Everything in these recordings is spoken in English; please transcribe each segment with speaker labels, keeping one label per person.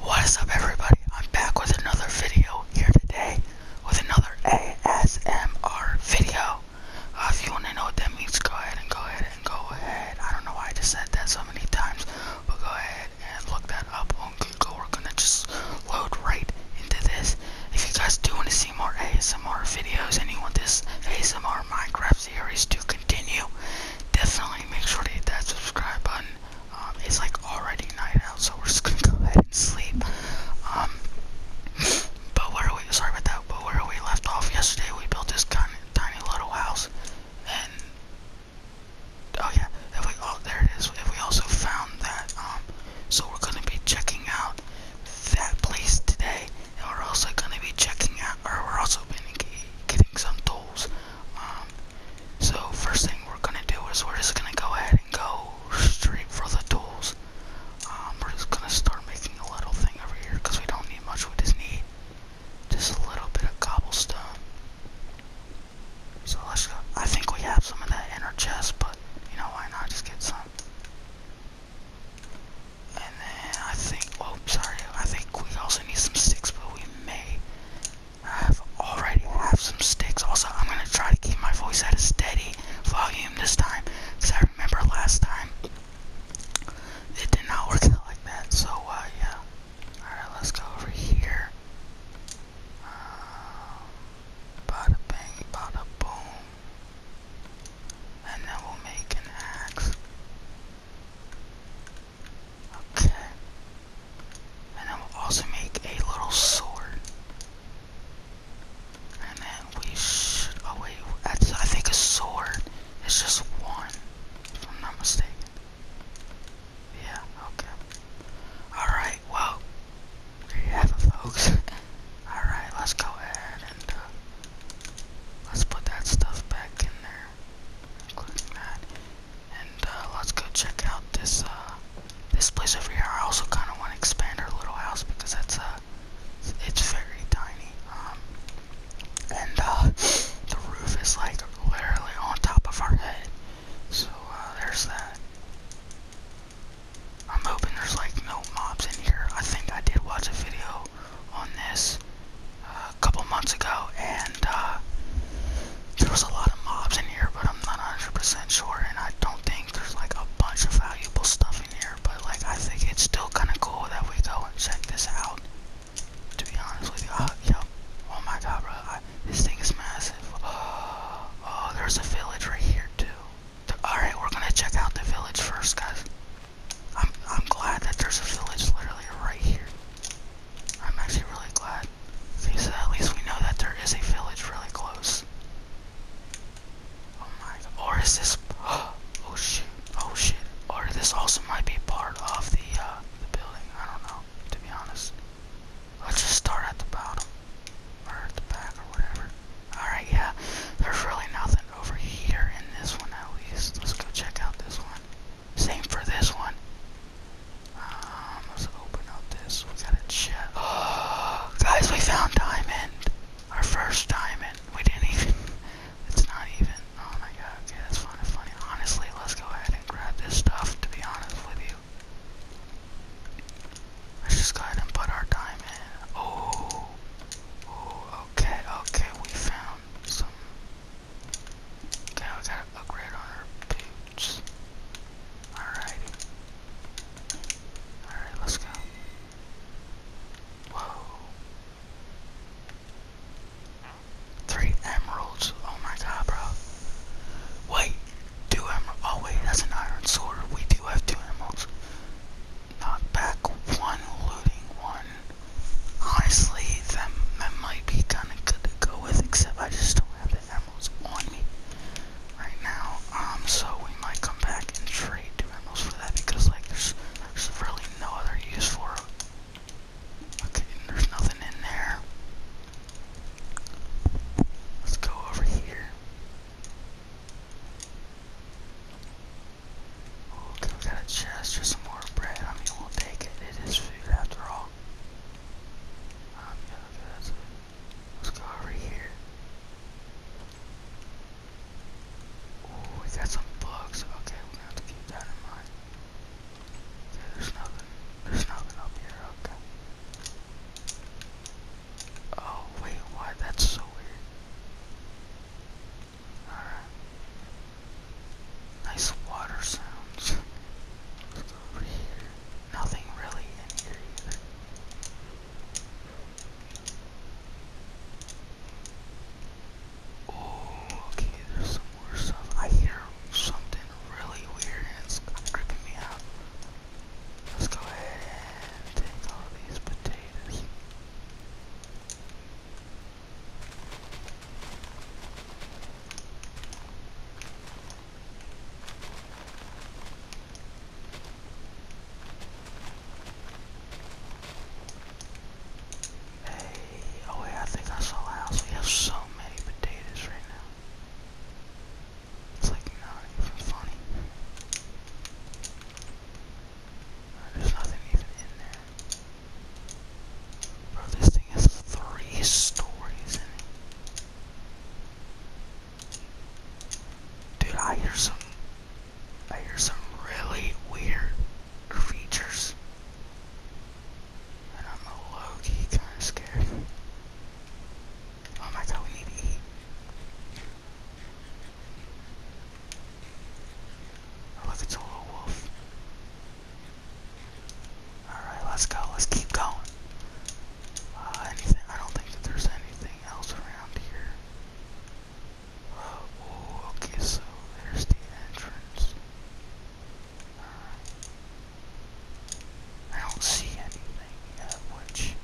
Speaker 1: What is up everybody? I'm back with another video here today with another ASMR video. Uh, if you want to know what that means, go ahead and go ahead and go ahead. I don't know why I just said that so many times, but go ahead and look that up on Google. We're gonna just load right into this. If you guys do want to see more ASMR videos and you want this ASMR Minecraft series to continue, definitely make sure to hit that subscribe button. Um, it's like already night out, so we're just gonna go ahead and sleep. Um, but where we, sorry about that, but where we left off yesterday, we built this tiny, tiny little house, and, oh yeah, we, oh, there it is, we also found that, um, so we're gonna be checking out that place today, we're also gonna be checking out, or we're also been getting some tools, um, so first thing we're gonna do is we're just gonna go ahead and go straight for the tools. Um, we're just gonna start making a little thing over here because we don't need much. We just need just a little bit of cobblestone. So let's go. I think we have some of that in our chest, but you know why not? Just get some. And then I think. Oh, sorry. I think we also need some sticks, but we may I have have some sticks. Also, I'm gonna try to keep my voice at a steady volume this time, cause I remember last time it did not work out like that. So, uh, yeah. All right, let's go over here. Uh, bada bang, bada boom, and then we'll make an axe. Okay. And then we'll also make a little sword. And then we should, oh wait, that's, I think a sword is just one, if I'm not mistaken. Yeah, okay. Alright, well, there you have it, folks. Alright, let's go ahead and, uh, let's put that stuff back in there there, that. And uh, let's go check out this uh, this place over here. I also kind of want to expand our little house because that's uh, it's very tiny. Um, and uh, the roof is like literally on top of our head. So there's that. I'm hoping there's like no mobs in here. I think I did watch a video on this uh, a couple months ago, and uh, there was a lot of mobs in here, but I'm not 100% sure, and I don't think there's like a bunch of valuable stuff in here, but like I think it's still kind of cool that we go and check this out. To be honest with you, uh, yo, oh my god, bro, this thing is massive. Oh, oh, there's a village right here too. Alright, we're gonna check out the village first, guys. I'm, I'm glad that there's a village literally right here. I'm actually really glad. at least we know that there is a village really close. Oh my Or is this. Oh shit. Oh shit. Or this also might be part of uh, the building. I don't know, to be honest. Let's just start at the bottom. Or at the back or whatever. Alright, yeah. There's really nothing over here in this one at least. Let's go check out this one. Same for this one. Um, let's open up this. We got a chest. guys, we found diamond. Our first diamond. We didn't even. It's not even. Oh my god. Okay, that's kind of funny. Honestly, let's go ahead and grab this stuff. To be honest with you, let's just go ahead and put our diamond. Oh. Oh. Okay. Okay. We found some Okay, we gotta upgrade our boots. Alrighty. Alright, let's go. Whoa. Three emeralds. Oh my god, bro. Wait, two emeralds. Oh wait, that's an iron sword. We do have two emeralds. Knock back one, looting one honestly, that, that might be kind of good to go with, except I just don't have the emeralds on me right now. Um, so we might come back and trade two emeralds for that because, like, there's, really no other use for Okay, there's nothing in there. Let's go over here. Still got a chest, just some more bread. I mean, we'll take it. It is food after all. Um, Let's go over here. Oh, we got some bugs. Okay, we have to keep that in mind. there's nothing. There's nothing up here. Okay. Oh, wait, why? That's so weird. Alright. Nice water sounds. Let's go over here. Nothing really in here Oh, okay, there's some more stuff. I hear something really weird it's freaking me out. Let's go ahead and take all these potatoes. Hey, oh wait, I think I saw a house. We have so many potatoes right now. It's like not even funny. There's nothing even in there. Bro, this thing has three stories Dude, I hear some I hear some really weird creatures. I'm a low-key kind of scared. Oh my god, we need to eat. Or oh, it's a little wolf. Alright, let's go. Let's keep going. Uh, I don't think that there's anything else around here. Oh, okay, so there's the entrance. I don't see anything yet, which,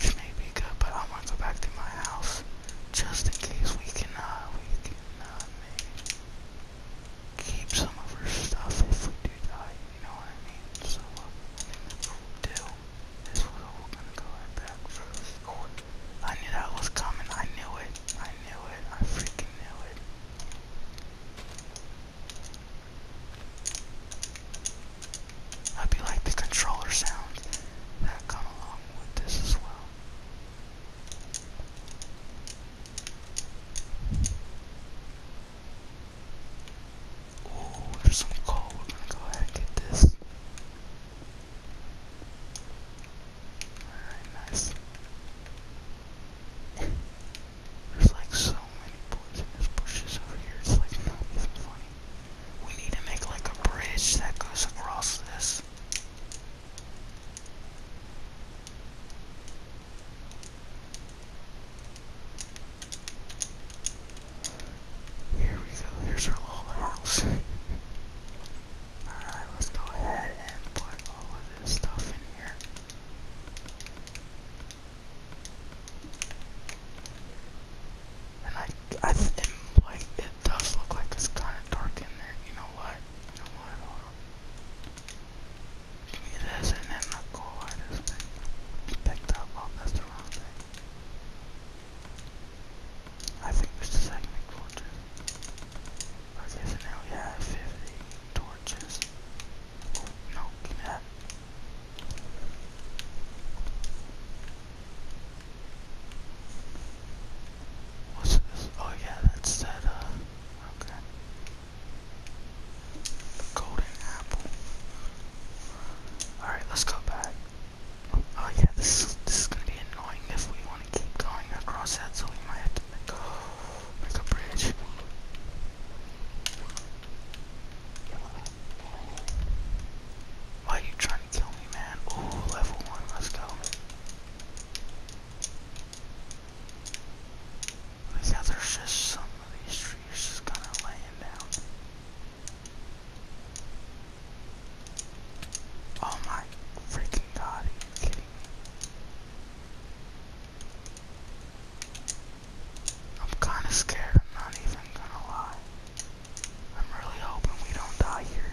Speaker 1: which may be good, but I'm to go back to my house just in case we can, we can, keep some of her stuff if we do die, you know what I mean? So, what uh, I think that's what we do, is we're all gonna go right back for the record. I knew that was coming, I knew it, I knew it, I freaking knew it. I'd be like the controller sounds that come along with this as well. Oh, there's some coal. go ahead get this. Alright, nice. There's like so many bushes over here, it's like not even funny. We need to make like a bridge that goes across this. Here we go, here's our little Alright, let's go ahead and put all of this stuff in here. And I, I, it, like, it does look like it's kind of dark in there. You know what? You know what? Hold on. this, and then I'll go light this thing. Picked up. Oh, that's the wrong thing. I think this is like torches. Okay, so now we have 50 torches. Oh, no, give that. What's this? Oh yeah, that's that, uh, okay. golden apple. Alright, let's go back. Oh yeah, this is, this is gonna be annoying if we want to keep going across that, so we might make a bridge. Why are you trying kill me, man. Ooh, level one, let's go. Like how there's some of these trees just kind of laying down. Oh my freaking god, I'm kinda scared, I'm not even gonna lie. I'm really hoping we don't die here.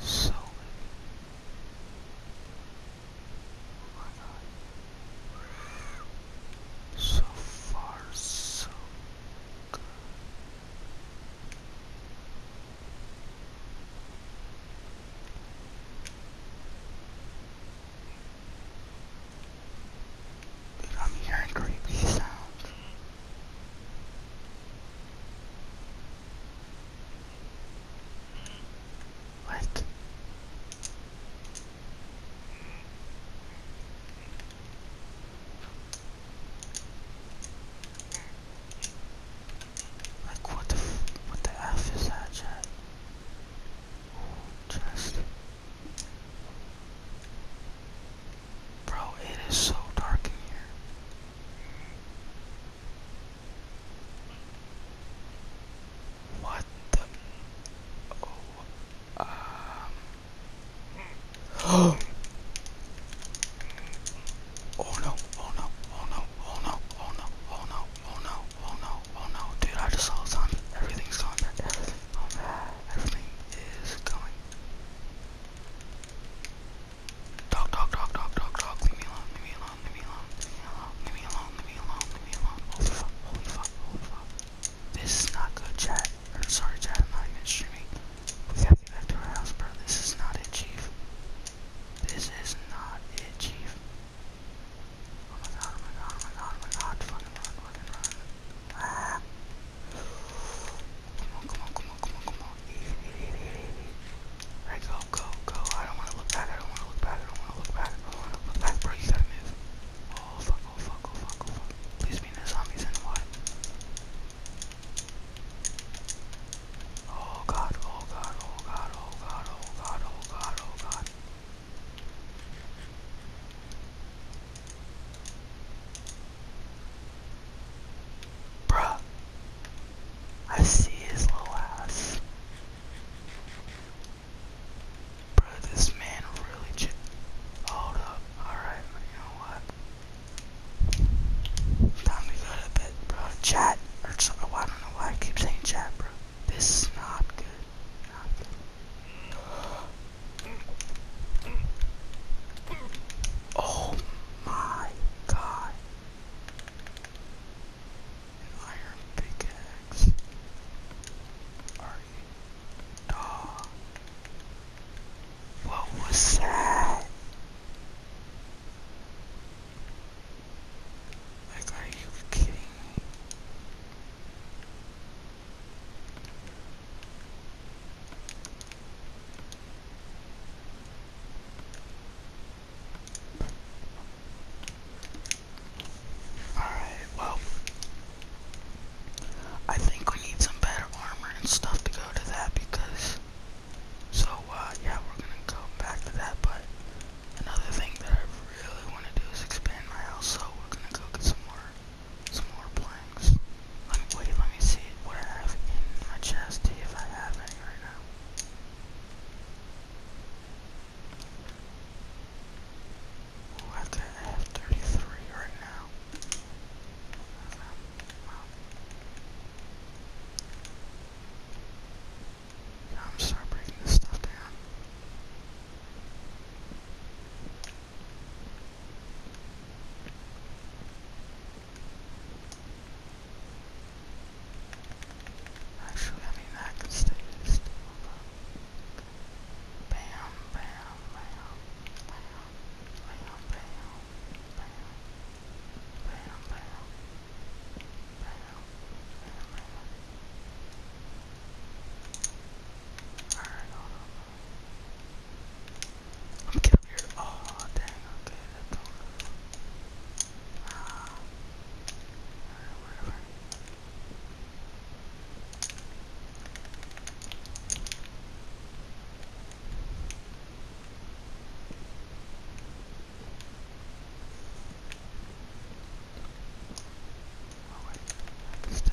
Speaker 1: So So far, so good. Dude, I'm hearing creepy sounds. What? Like what the what the f is that chat? Oh, Bro, it is so dark in here. What the? Oh, um. oh Oh no! Oh no! Oh no! Oh no! Oh no! Oh no! Oh no! Oh no! Dude, I just saw a Everything's gone. Everything's gone. Dog, dog, dog, dog, dog, dog. Leave me alone, leave me alone, leave me alone, leave me alone, leave me alone, Holy fuck, holy fuck, holy fuck. This is not good, chat. sorry, chat, I'm not even streaming. We gotta get house, bro. This is not it, chief. This is not it, chief. Oh my god, oh my god, oh my god, oh my god. Fucking run, fucking run. Ah. Come on, come on, come on, come on, come on. Alright, go, go, go. I don't want to look back. I don't want to look back. I don't want to look back. I don't want to look back. Bro, you gotta move. Oh, fuck, oh, fuck, oh, fuck, oh, fuck. Please be in the zombies in the water. Oh god, oh god, oh god, oh god, oh god, oh god, oh god. Bruh. I see his little ass. Bro, this man really ch- Hold up. Alright, you know what? Time to go to bed, bro. Chat. Oh, I don't know why I keep saying chat, bro. This is Not good. Oh my god. iron pickaxe. Are you dog? What was that? Like, are you kidding me? Alright, well, I think we need some better armor and stuff to go to that because, so, uh, yeah, we're gonna go back to that, but another thing that I really want to do is expand my house, so we're gonna go get some more some more planks. wait, let me see what I have in my chest, if I have any right now. I have, to, have 33 right now. I'm sorry breaking this stuff down. Actually, I mean, I could stay still, but... Bam, bam, bam, bam, bam, bam, bam, bam, bam, bam, bam, bam. Alright, hold on. I'm killing her. Oh, dang, okay, that's all. Uh, whatever. Oh wait, I have to stay.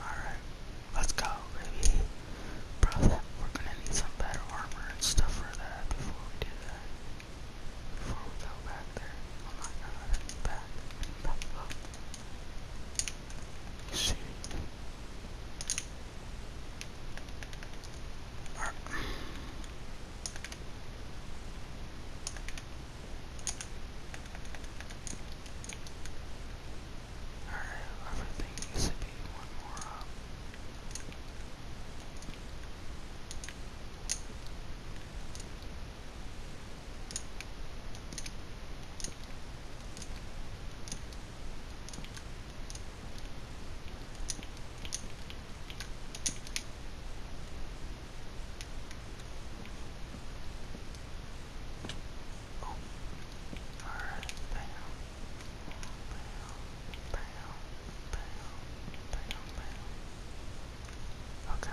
Speaker 1: Alright, let's go, baby. we're gonna need some better armor and stuff for that before we do that. Before we go back there. Oh my god, back. Back up. Shoot. Our other thing needs to be one more up. Oh. All right. Bam. Bam. Bam. Bam. Bam. Bam. Okay.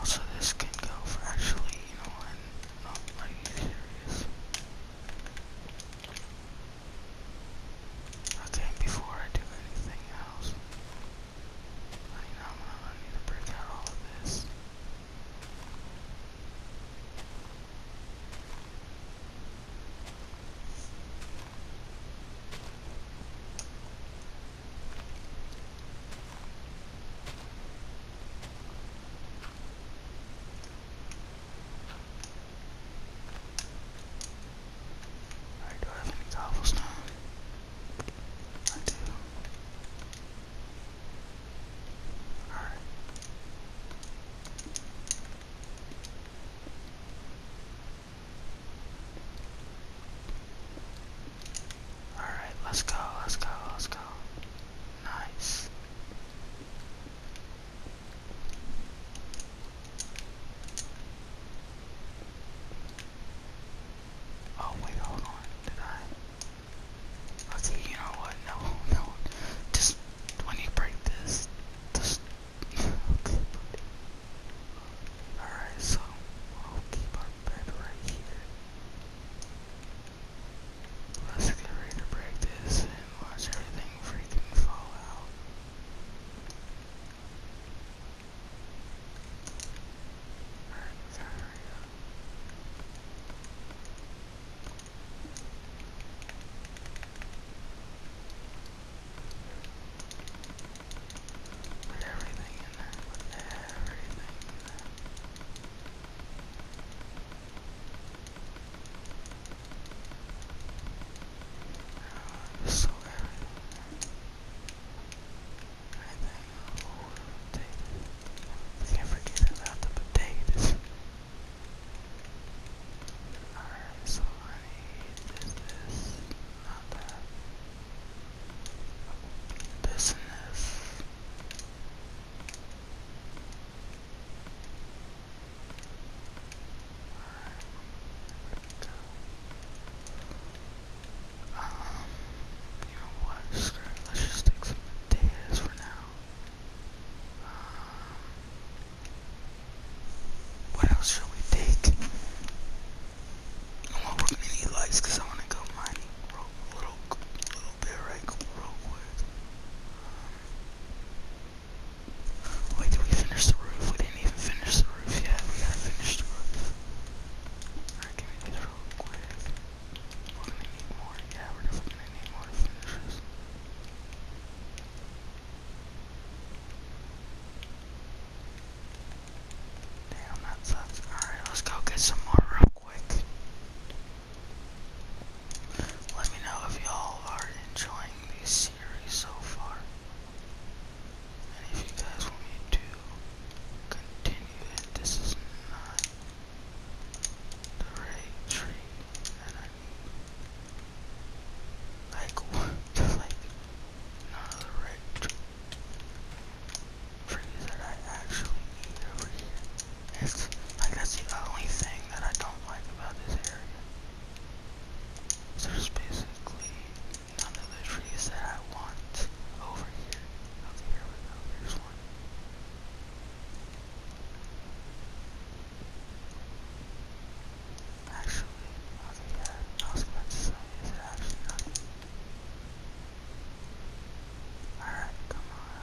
Speaker 1: Also, this can go for actually, you know, i oh, serious. I think before I do anything else, I need to break out all of this. I do have any cobblestone. I do. Alright. Alright, let's go, let's go, let's go. Nice. Oh wait, hold on. Did I? I see. You know what? No, no. Just when you break this, just. okay. All right. So we'll keep our bed right here. Let's get ready to break this watch everything freaking fall out. Alright, everything in there, everything in there. So I think oh, I can't forget about the potatoes. Alright, so I need this, not that. This um, what? Let's just take some potatoes for now. Um, what else should we take? Well, we're gonna need lights I want to go mining real, little, little bit right real quick. Um, Wait, did we finish the roof? We didn't even finish the roof yet. We gotta finish the roof. Alright, can we do this real more. Yeah, we Damn, that sucks. Alright, let's go get some more real quick. Let me know if y'all are enjoying this series so far. And if you guys want me to continue this is not the right tree that I Like, like, not the right tree that I actually need over here. It's like that's the only thing that I don't like about this area. there's basically none of the trees that I want over here. Over here, oh, here's one. Actually, okay, yeah, I was about to say, is it actually not? Alright, come on.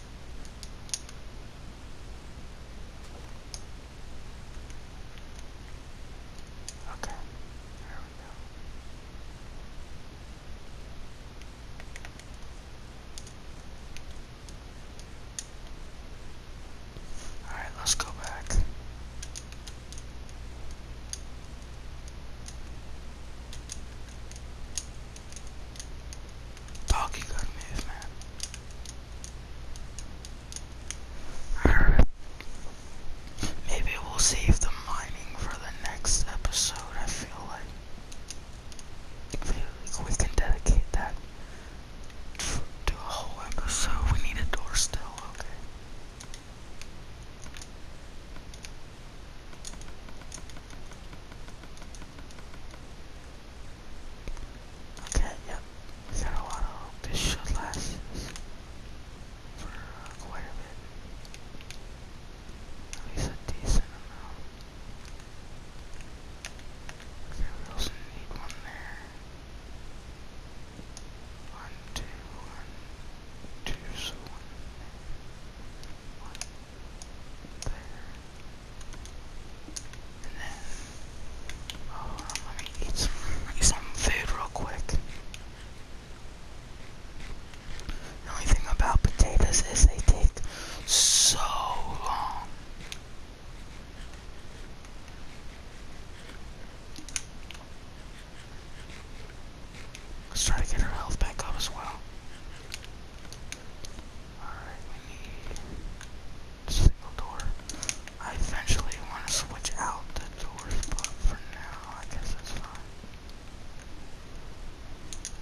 Speaker 1: Okay, there we go. Alright, let's go back. Doggy good man. Maybe we'll save the mining for the next episode, I feel like. we can dedicate that to a whole episode. We need a door still, okay. Okay, yep. We got a lot of hope. This should last for quite a bit. At least a decent amount. we also need one there. One, two, one, two, there. And then, oh, let me eat some, food real quick. The only thing about potatoes is they take so long. Let's try to get her health back up as well. Alright, we need single door. I eventually want to switch out the doors, but for now, I guess that's fine.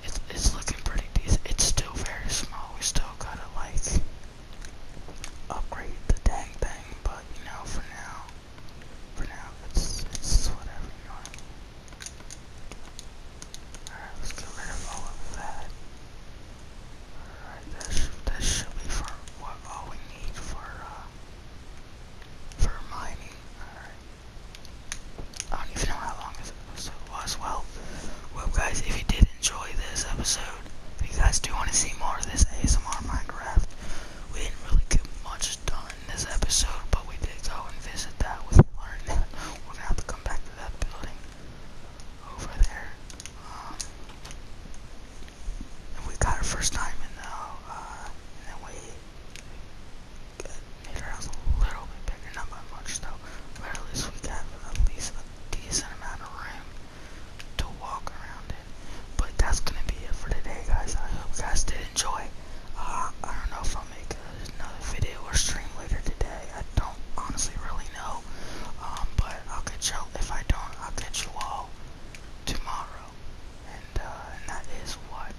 Speaker 1: It's, it's looking pretty decent. It's still very small. We still gotta, like, upgrade the dang thing, but, you know, for now, for now, it's, it's whatever, Alright, let's get rid of all of that. Alright, this, this should be for what all we need for, uh, for mining. Alright. I don't even know how long this episode was. Well, well guys, if you did enjoy this episode, if you guys do want to see more of this ASMR Minecraft, we didn't really get much done in this episode, but we did go and visit that. We learned that we're going to have to come back to that building over there. Um, and we got our first time, now, uh, and then we made our house a little bit bigger, not by much though, but at least we got at least a decent amount of room to walk around in. But that's gonna be it for today, guys. I hope guys did enjoy. Uh, I don't know if I'll make another video or stream later today. I don't honestly really know, um, but I'll catch y'all. If I don't, I'll catch you all tomorrow. Uh, and, that is what?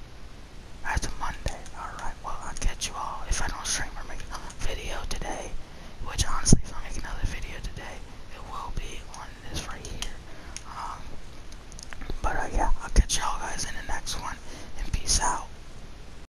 Speaker 1: That's a Monday. Alright, well, I'll catch you all if I don't stream or make another video today. Which, honestly, if I make another video today, it will be on this right here. Um, but, uh, yeah, I'll catch y'all guys in the next one. And peace out.